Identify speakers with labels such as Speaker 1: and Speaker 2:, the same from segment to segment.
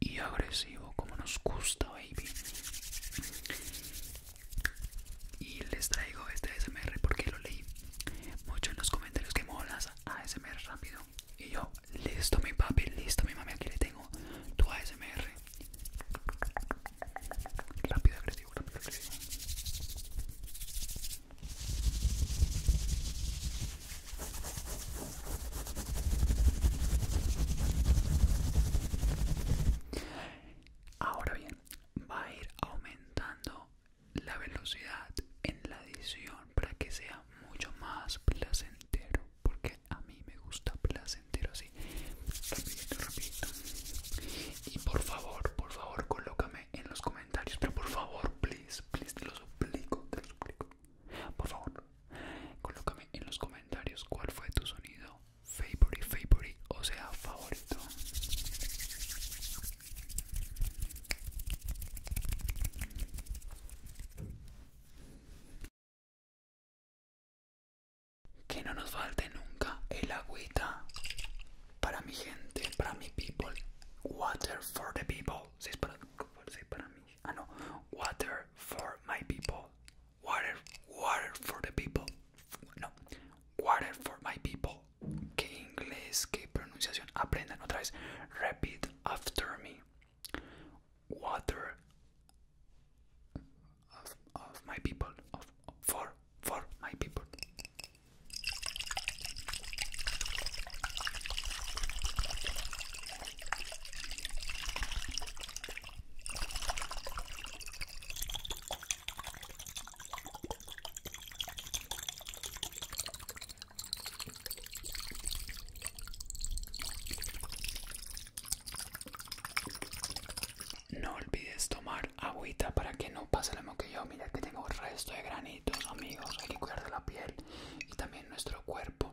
Speaker 1: y agresivo como nos gusta, baby. Y les traigo este ASMR porque lo leí mucho en los comentarios que molas ASMR rápido. Y yo, listo mi papi, listo mi mami, aquí le tengo tu ASMR. Rápido, agresivo, rápido, agresivo. Ahora bien, va a ir aumentando la velocidad en la edición para que sea mucho más placentero, porque a mí me gusta placentero así. Y por favor, por favor, colócame en los comentarios, pero por favor, please, please, te lo suplico, te lo suplico. Por favor, Colócame en los comentarios cuál fue tu sonido favorite, favorite, o sea, favorito. Que no nos falte nunca el agüita para mi gente, para mi people. Water for the people. Si es para, si es para mí. Ah, no. Water for my people. water, water for the people. No, water for my people. Qué inglés, qué pronunciación. Aprendan otra vez. Repeat after me. Water of, my people. Of, for, for my people. No olvides tomar agüita para que no pase la mismo yo. Mira que tengo resto de granitos, amigos. Hay que cuidar de la piel y también nuestro cuerpo.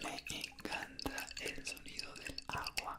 Speaker 1: Me encanta el sonido del agua.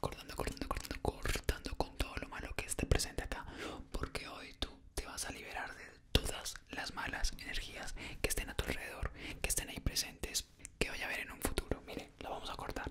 Speaker 1: Cortando, cortando, cortando, cortando con todo lo malo que esté presente acá. Porque hoy tú te vas a liberar de todas las malas energías que estén a tu alrededor, que estén ahí presentes, que vaya a ver en un futuro. Miren, lo vamos a cortar.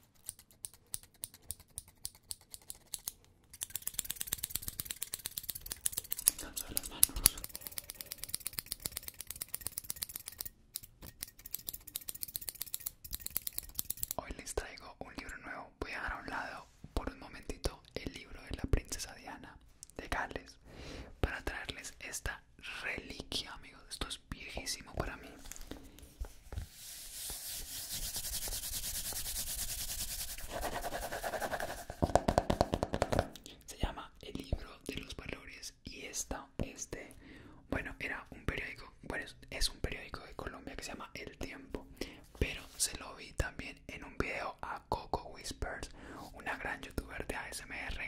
Speaker 1: Hoy les traigo un libro nuevo. Voy a dejar a un lado por un momentito el libro de la princesa Diana de Gales para traerles esta reliquia, amigos. Esto viejísimo para mí. Se llama El libro de los valores y esta, este, bueno, era un periódico, bueno, es un periódico de Colombia que se llama El Tiempo, pero se lo vi también en un video a Coco Whispers, una gran youtuber de ASMR,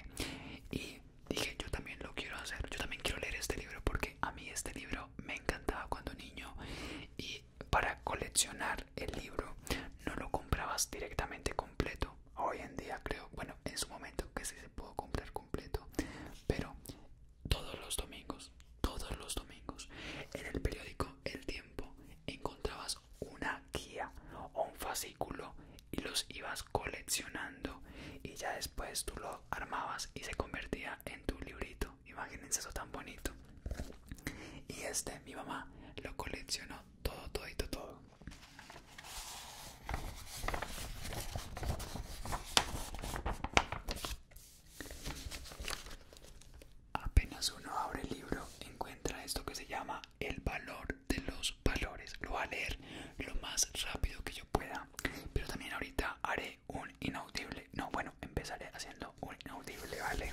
Speaker 1: y dije yo también lo quiero hacer, yo también quiero leer este libro porque a mí este libro me encantaba cuando niño y para coleccionar el libro no lo comprabas directamente completo. Hoy en día creo, bueno, en su momento que sí se pudo comprar completo, pero todos los domingos, todos los domingos, en el periódico El Tiempo encontrabas una guía o un fascículo y los ibas coleccionando y ya después tú lo armabas y se convertía en tu librito imagínense eso tan bonito y este mi mamá lo coleccionó todo todito todo apenas uno abre el libro encuentra esto que se llama el valor de los valores lo voy a leer lo más rápido que yo pueda pero también ahorita haré un inaudible. No, bueno, empezaré haciendo un inaudible, ¿vale?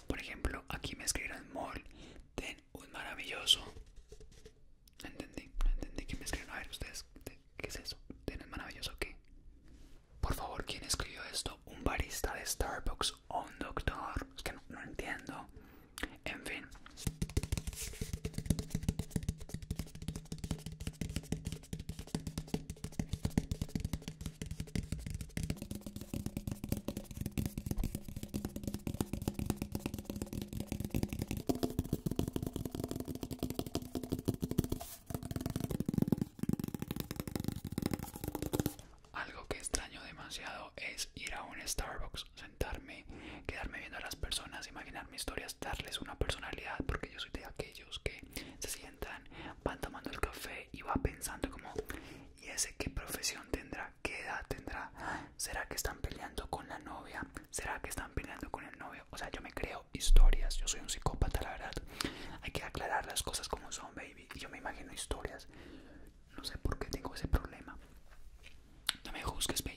Speaker 1: Por ejemplo, aquí me escriben mall, ten un maravilloso. No entendí, no entendí que me escribieron. A ver, ustedes, ¿qué es eso? ¿Ten un maravilloso qué? Por favor, ¿quién escribió esto? Un barista de Starbucks o un doctor. Es que no entiendo. En fin. Algo que extraño demasiado es ir a un Starbucks, sentarme, quedarme viendo a las personas, imaginar mi historia, darles una personalidad, porque yo soy de aquellos que se sienten van tomando el café y va pensando como, ¿y ese qué profesión tendrá? ¿Qué edad tendrá? ¿Será que están peleando con la novia? ¿Será que están peleando con el novio? O sea, yo me creo historias, yo soy un psicópata, la verdad. Hay que aclarar las cosas como son, baby. Y yo me imagino historias. No sé por qué tengo ese problema. No me juzgues, baby.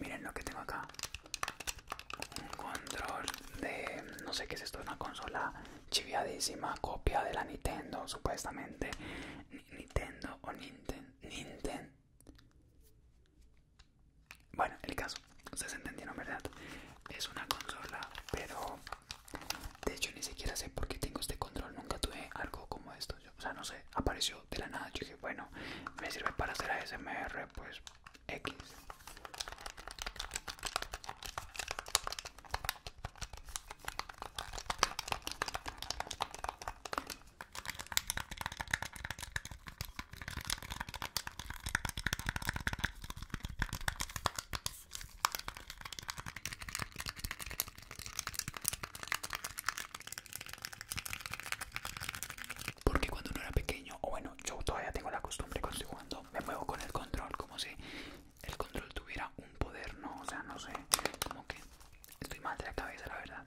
Speaker 1: Miren lo que tengo acá. Un control de... No sé qué es esto, una consola chiviadísima, copia de la Nintendo, supuestamente. Nintendo o Ninten... Ninten... Bueno, el caso. Ustedes entendieron, ¿verdad? Es una consola, pero de hecho, ni siquiera sé por qué tengo este control. Nunca tuve algo como esto. o sea, no sé, apareció de la nada. Yo dije, bueno, me sirve para hacer ASMR, pues X. Porque cuando no era pequeño, o bueno, yo todavía tengo la costumbre cuando me muevo con el control como si el control tuviera un poder, no, o sea, no sé, como que estoy mal de la cabeza, la verdad.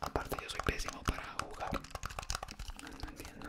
Speaker 1: Aparte yo soy pésimo para jugar. No, entiendo.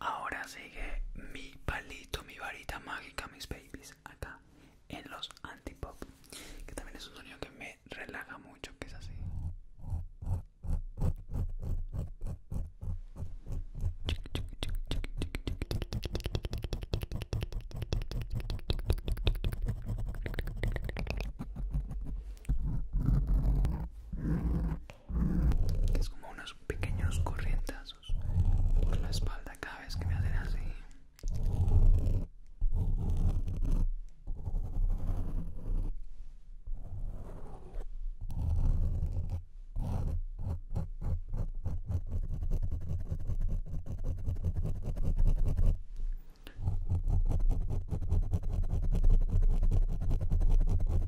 Speaker 1: Ahora sigue mi palito, mi varita mágica, mis babies, acá en los antipop, que también es un sonido que me relaja mucho, que es así es como unos pequeños corrientazos por la espalda cada vez que me hacen así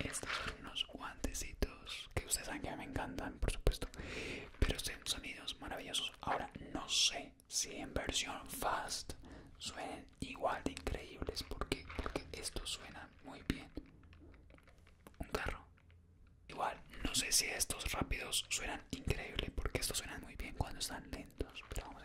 Speaker 1: Estos son unos guantecitos que ustedes saben que me encantan, por supuesto, pero son sonidos maravillosos. Ahora no sé si en versión fast suenan igual de increíbles, porque porque esto suena muy bien. Un carro. Igual, no sé si estos rápidos suenan increíble porque estos suenan muy bien cuando están lentos, pero vamos a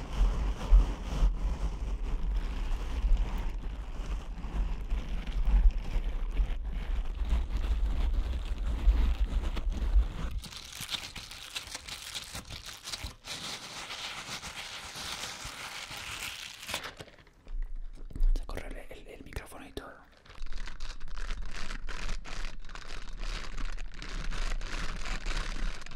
Speaker 1: Se el, el micrófono y todo.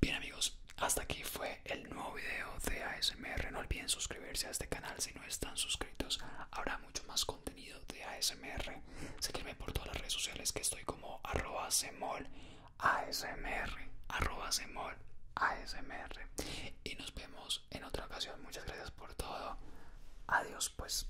Speaker 1: Bien amigos, hasta aquí fue el nuevo video de ASMR. No olviden suscribirse a este canal si no están suscritos. Habrá mucho más contenido de ASMR. Seguirme por todas las redes sociales que estoy como arroba semol semol ASMR. Y nos vemos en otra ocasión. Muchas gracias por todo. Adiós pues.